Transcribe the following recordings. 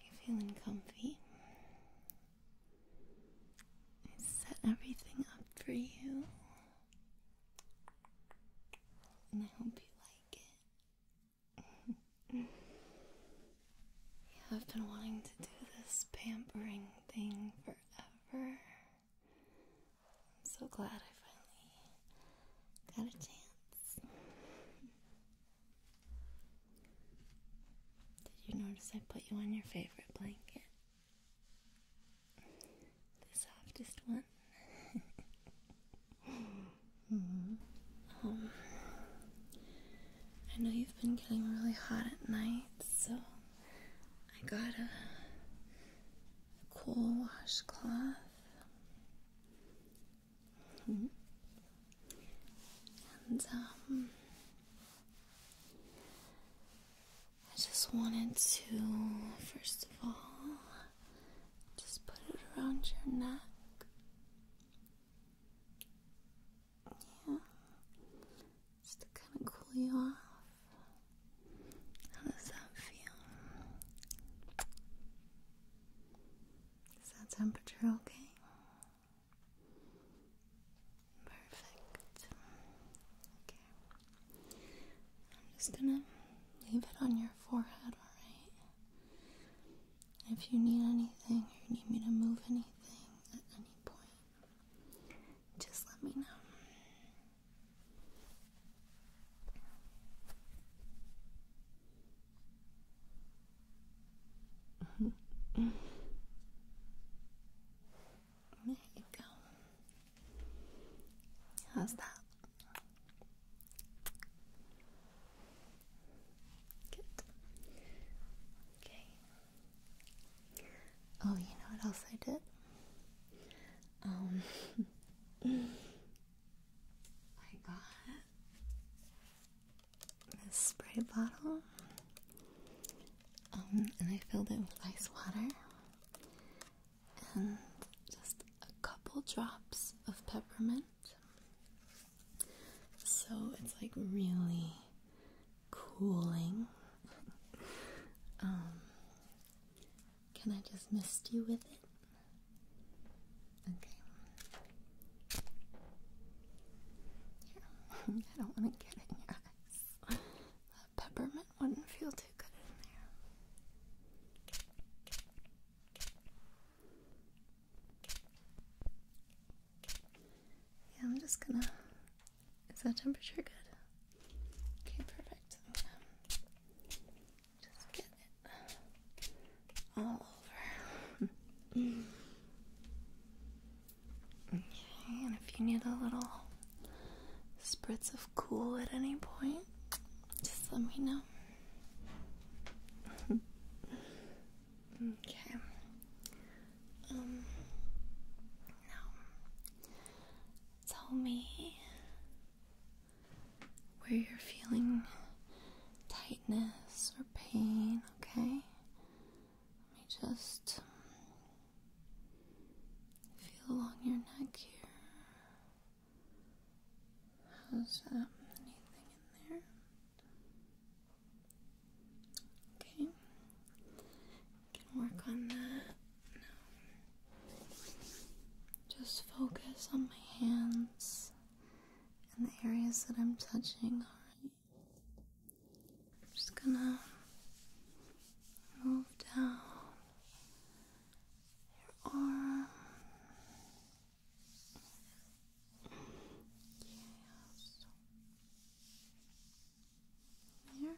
You feeling comfy? I set everything up for you. And I hope you like it. I've been wanting to do this pampering thing forever. I'm so glad I finally got a chance. Did you notice I put you on your favorite blanket? The softest one. Um, I know you've been getting really hot at night, so I got a cool washcloth. And um, I just wanted to, first of all, just put it around your neck. Yeah, just to kind of cool you off. How does that feel? Is that temperature okay? Perfect. Okay. I'm just gonna leave it on your forehead, alright? If you need anything or you need me to move anything at any point, just let me know there you go. How's that? Good. Okay. Oh, you know what else I did? Um, I got this spray bottle, um, and I filled it with ice water and just a couple drops of peppermint. So it's like really cooling. Um, can I just mist you with it? Okay. Yeah. I don't want to get in your eyes. The peppermint wouldn't feel too good in there. Yeah, I'm just gonna. Is that temperature good? Okay, perfect. Um, just get it all over. okay, and if you need a little spritz of cool at any point, just let me know. okay. Um. Now, tell me where you're feeling tightness or pain, okay? Let me just feel along your neck here. How's that? Anything in there? Okay. Can work on that. No. Just focus on my hands. And the areas that I'm touching, I'm just gonna move down your arm. Yes. Here. And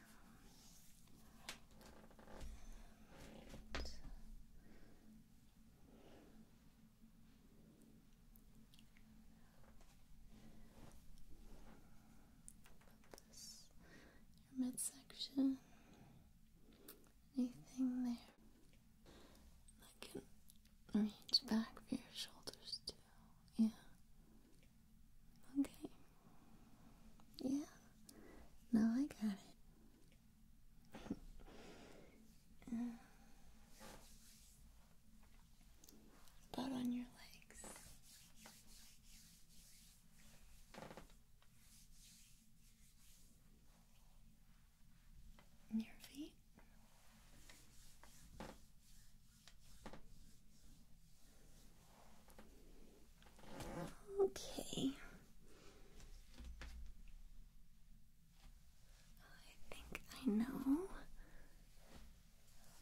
this midsection. Anything there? I can reach back for your shoulders too. Yeah. Okay. Yeah. Now I got it. About on your legs. your feet. Okay. I think I know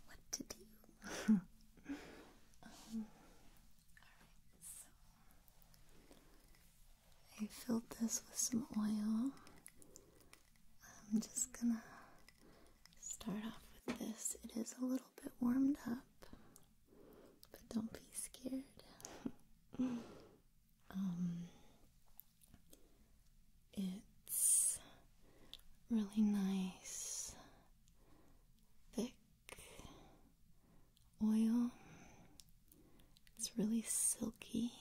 what to do. Alright, so um, I filled this with some oil. I'm just gonna start off with this. It is a little bit warmed up, but don't be scared. Um, it's really nice, thick oil. It's really silky.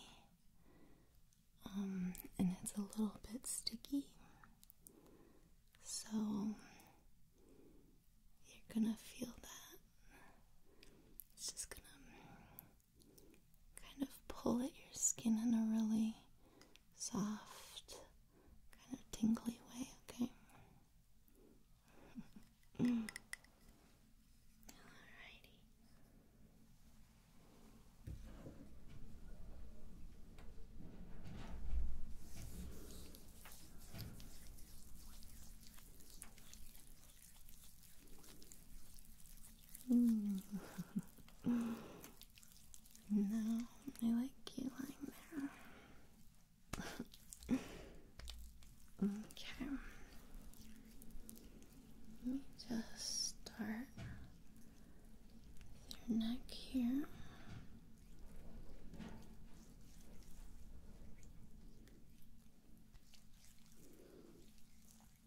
Um, and it's a little bit sticky. So you're gonna feel that. It's just gonna kind of pull at your skin in a really soft, kind of tingly way, okay? Alrighty. Mm. no, I like you lying there. okay. Let me just start your neck here.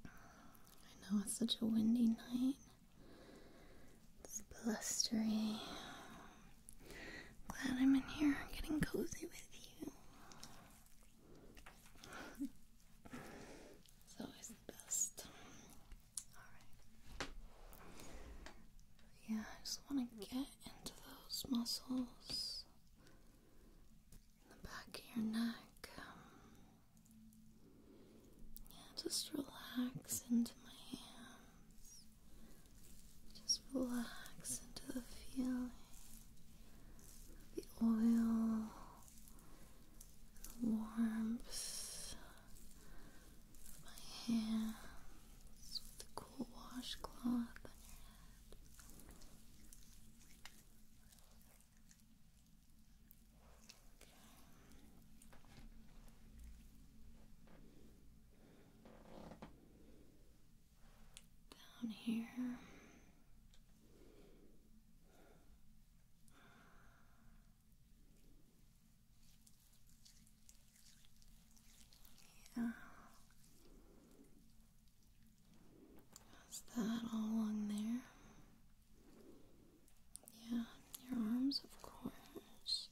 I know it's such a windy night. It's blustery. Glad I'm in here getting cozy with you. it's always the best. Yeah, I just want to get into those muscles the back of your neck. Um, yeah, just relax into my hands. Just relax into the feeling of the oil, the warmth of my hands with the cool washcloth on your head. Down here. Yeah. That's that all on there. Yeah, your arms, of course.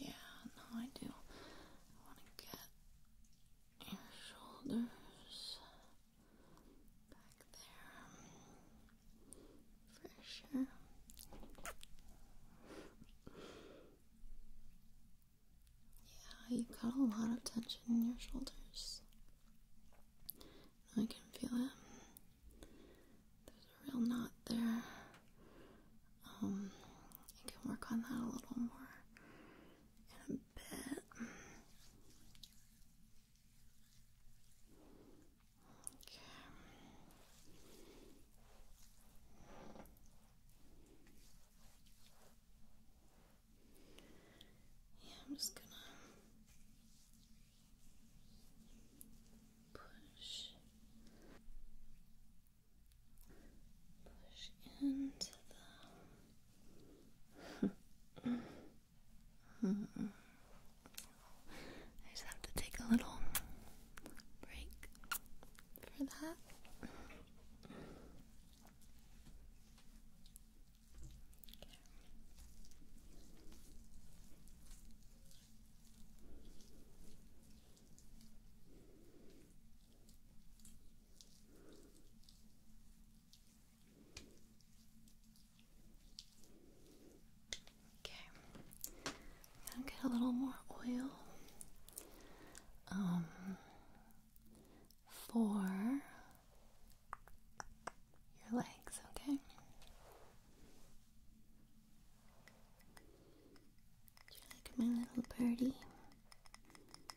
Yeah, no, I do. I want to get your shoulders back there for sure. Yeah, you've got a lot of tension in your shoulders. I can feel it. There's a real knot there. Um, I can work on that a little more in Okay. Yeah, I'm just gonna push, push into the I just have to take a little break for that. Okay, gonna get a little more oil. Um, for your legs, okay? you like my little birdie?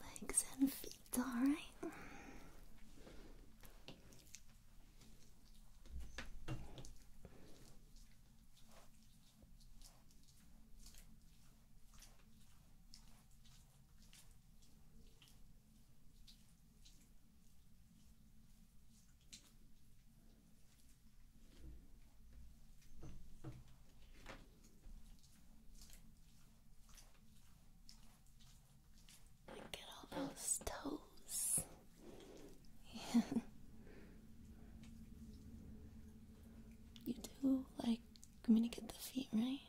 Legs and feet, alright? Look at all those toes. Yeah. You do like I'm going to get the feet right.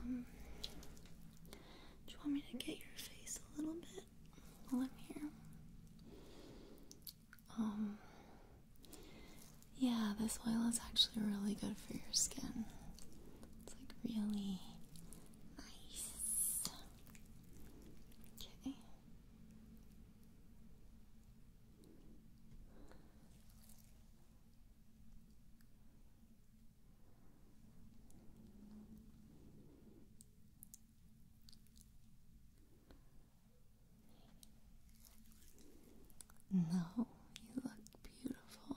Um, do you want me to get your face a little bit while I'm here? Um, yeah, this oil is actually really good for your skin. It's like really nice. Okay. No, you look beautiful.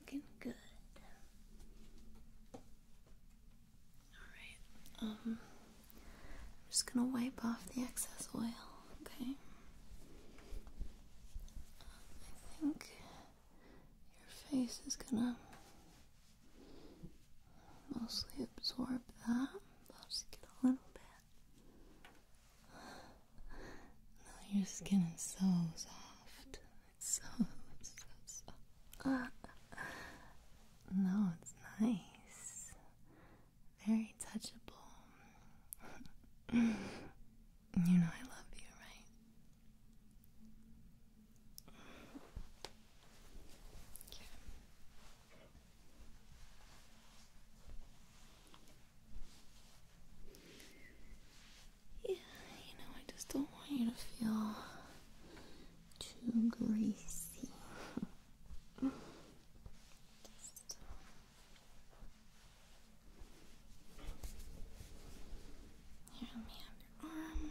Looking good. Alright, um, I'm just gonna wipe off the excess oil, okay? I think your face is gonna mostly absorb that lost it a little bit. No, your skin is so soft. It's so, so no, it's nice. Very touchable. you know I love you, right? Yeah, you know, I just don't want you to feel too greasy. Here, let me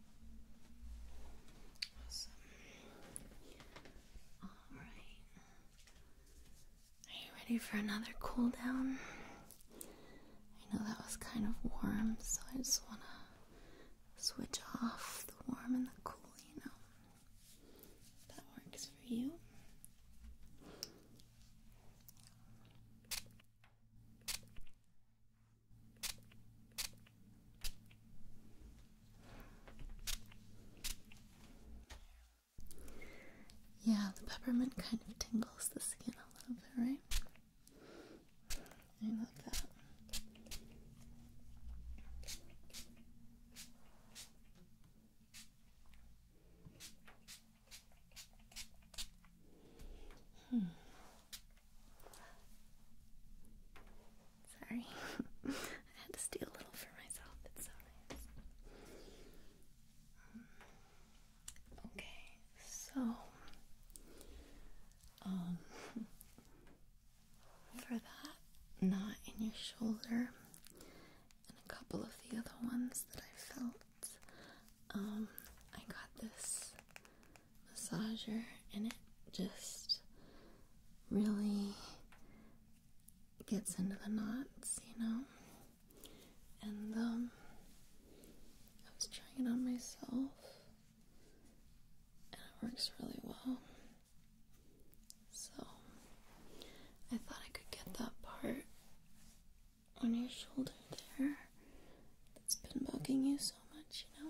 Awesome. Alright. Are you ready for another cool down? I know that was kind of warm, so I just want to switch off the warm and the cool, you know. that works for you. Yeah, the peppermint kind of tingles the skin a little bit, right? I love that. Hmm. Sorry. I had to steal a little for myself. It's so nice. Um, okay, so um for that knot in your shoulder and a couple of the other ones that I felt, um, I got this massager and it just really gets into the knots, you know. And um, I was trying it on myself and it works really well. So I thought I could get that part on your shoulder there that's been bugging you so much, you know.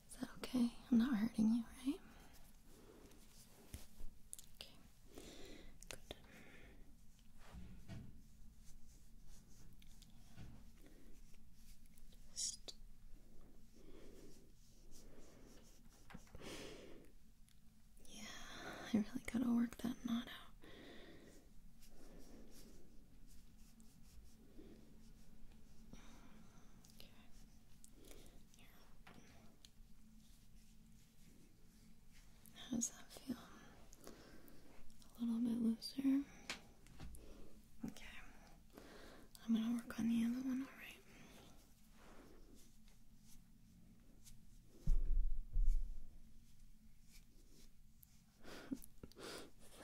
Is that okay? I'm not hurting you, right? yeah, I really gotta work that knot out. How does that feel? A little bit looser. Okay. I'm gonna work on the other one, alright?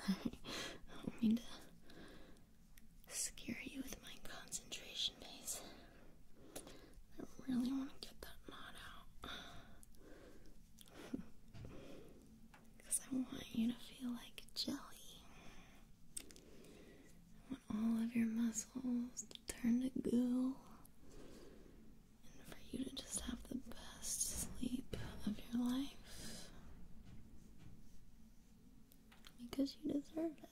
Sorry, I don't mean to scare you with my concentration base. I really want to get that knot out. Because I want you to feel like jelly. I want all of your muscles to turn to goo. And for you to just have the best sleep of your life because you deserve it.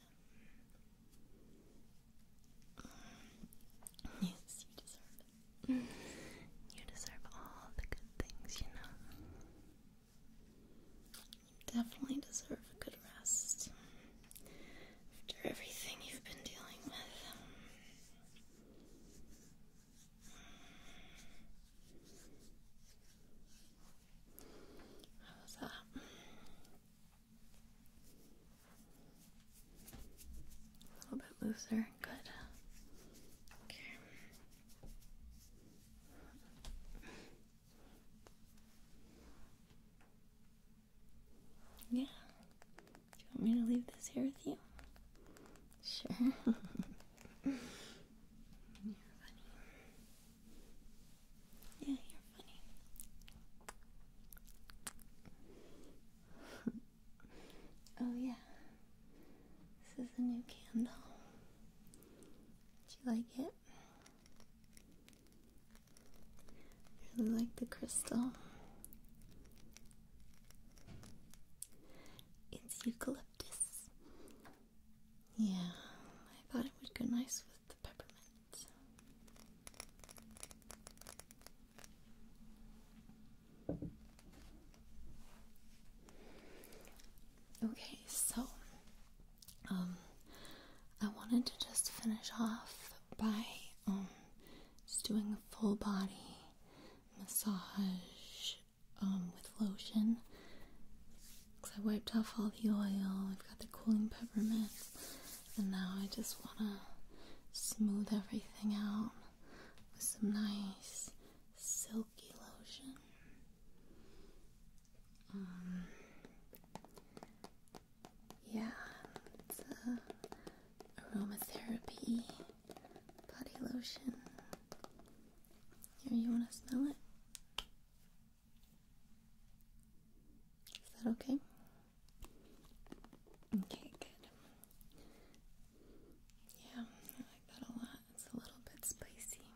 Um, yes, you deserve it. You deserve all the good things, you know. You definitely deserve a good rest after everything you've been dealing with. How's that? A little bit looser. Good. Okay. Yeah. Do you want me to leave this here with you? Sure. You're funny. Yeah, you're funny. oh, yeah. This is a new candle. Do you like it? I really like the crystal. It's eucalyptus. Yeah, I thought it would go nice with the peppermint. Okay, so um I wanted to just finish off by um just doing a full body massage um with lotion because I wiped off all the oil, I've got the cooling peppermint, and now I just want to smooth everything out with some nice silky lotion. Um, yeah, it's a aromatherapy body lotion. Here, you want to smell it? Is that okay? Okay, good. Yeah, I like that a lot. It's a little bit spicy.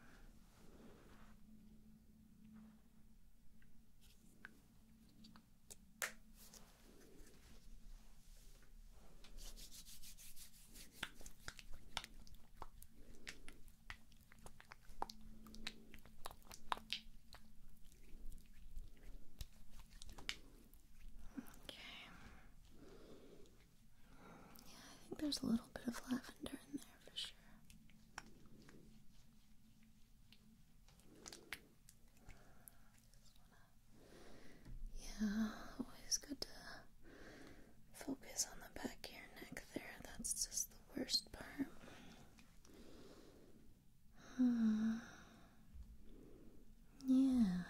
Okay. Yeah, I think there's a little bit of lavender in there for sure. Yeah, always good to focus on the back of your neck there. That's just the worst part. Hmm. Yeah.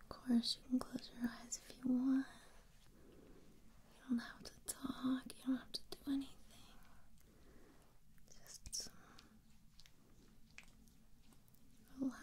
Of course, you can close your eyes if you want. You don't have to talk, you don't have to do anything. Just relax.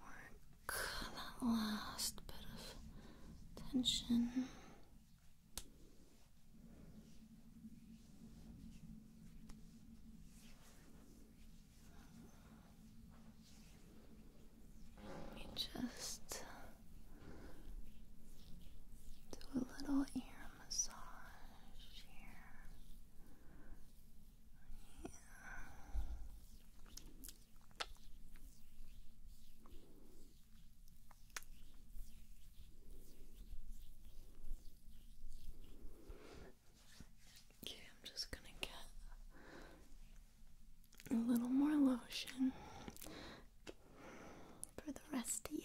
work that last bit of tension. Let me just do a little ear massage Okay, I'm just gonna get a little more lotion for the rest of you.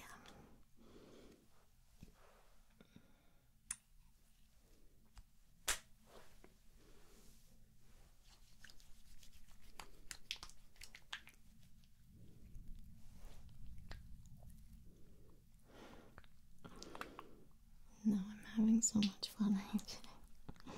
Now I'm having so much fun actually.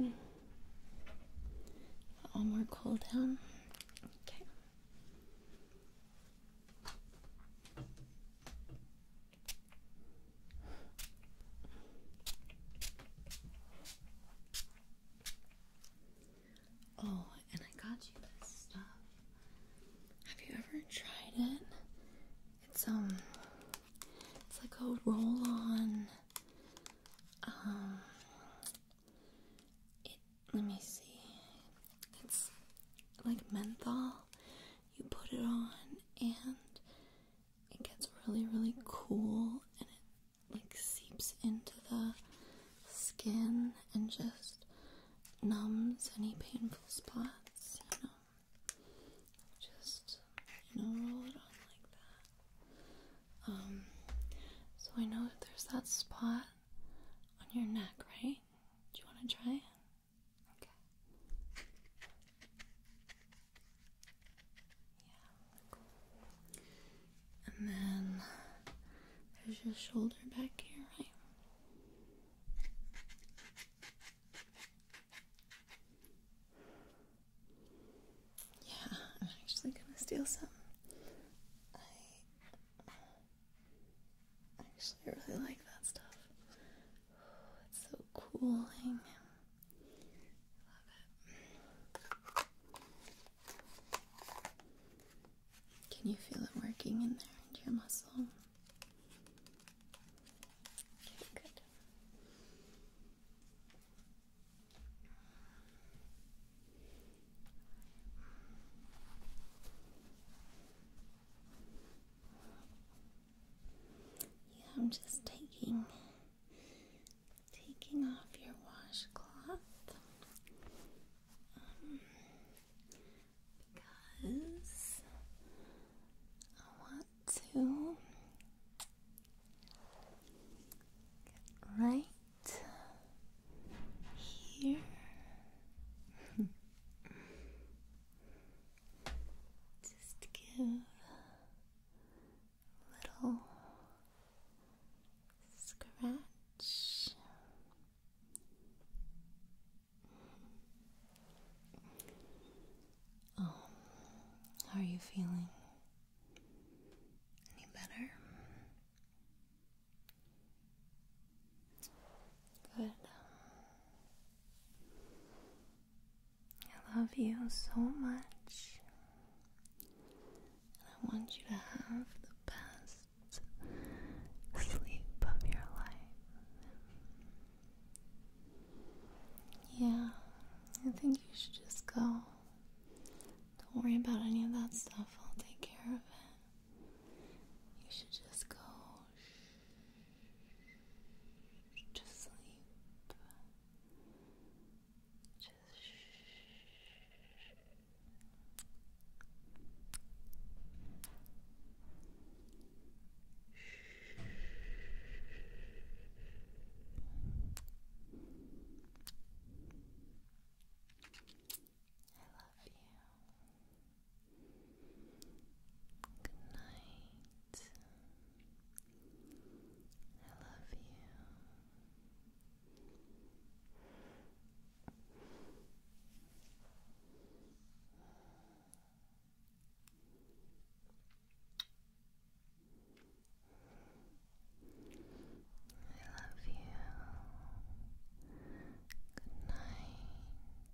Okay. One more cool down. Okay. Oh, and I got you this stuff. Have you ever tried it? It's um it's like a roll on um let me see. It's like menthol. You put it on and it gets really, really cool and it like seeps into the skin and just numbs any painful spots, Just, you know, roll it on like that. Um, so I know that there's that spot on your neck, right? Do you want to try it? Okay. Yeah, And then there's your shoulder back here, right? Yeah, I'm actually gonna steal some. I actually really like that stuff. it's so cooling. Love it. Can you feel it working in there your muscle? Okay, good. Yeah, I'm just taking taking off your washcloth um, because I want to right here. Just give a little scratch. Um, how are you feeling? Any better? Good. I love you so much. I want you to have the best sleep of your life. Yeah, I think you should just go. Don't worry about any of that stuff, I'll take care of it. You should just go to sleep. Just I love you. Good night. I love you. I love you. Good night.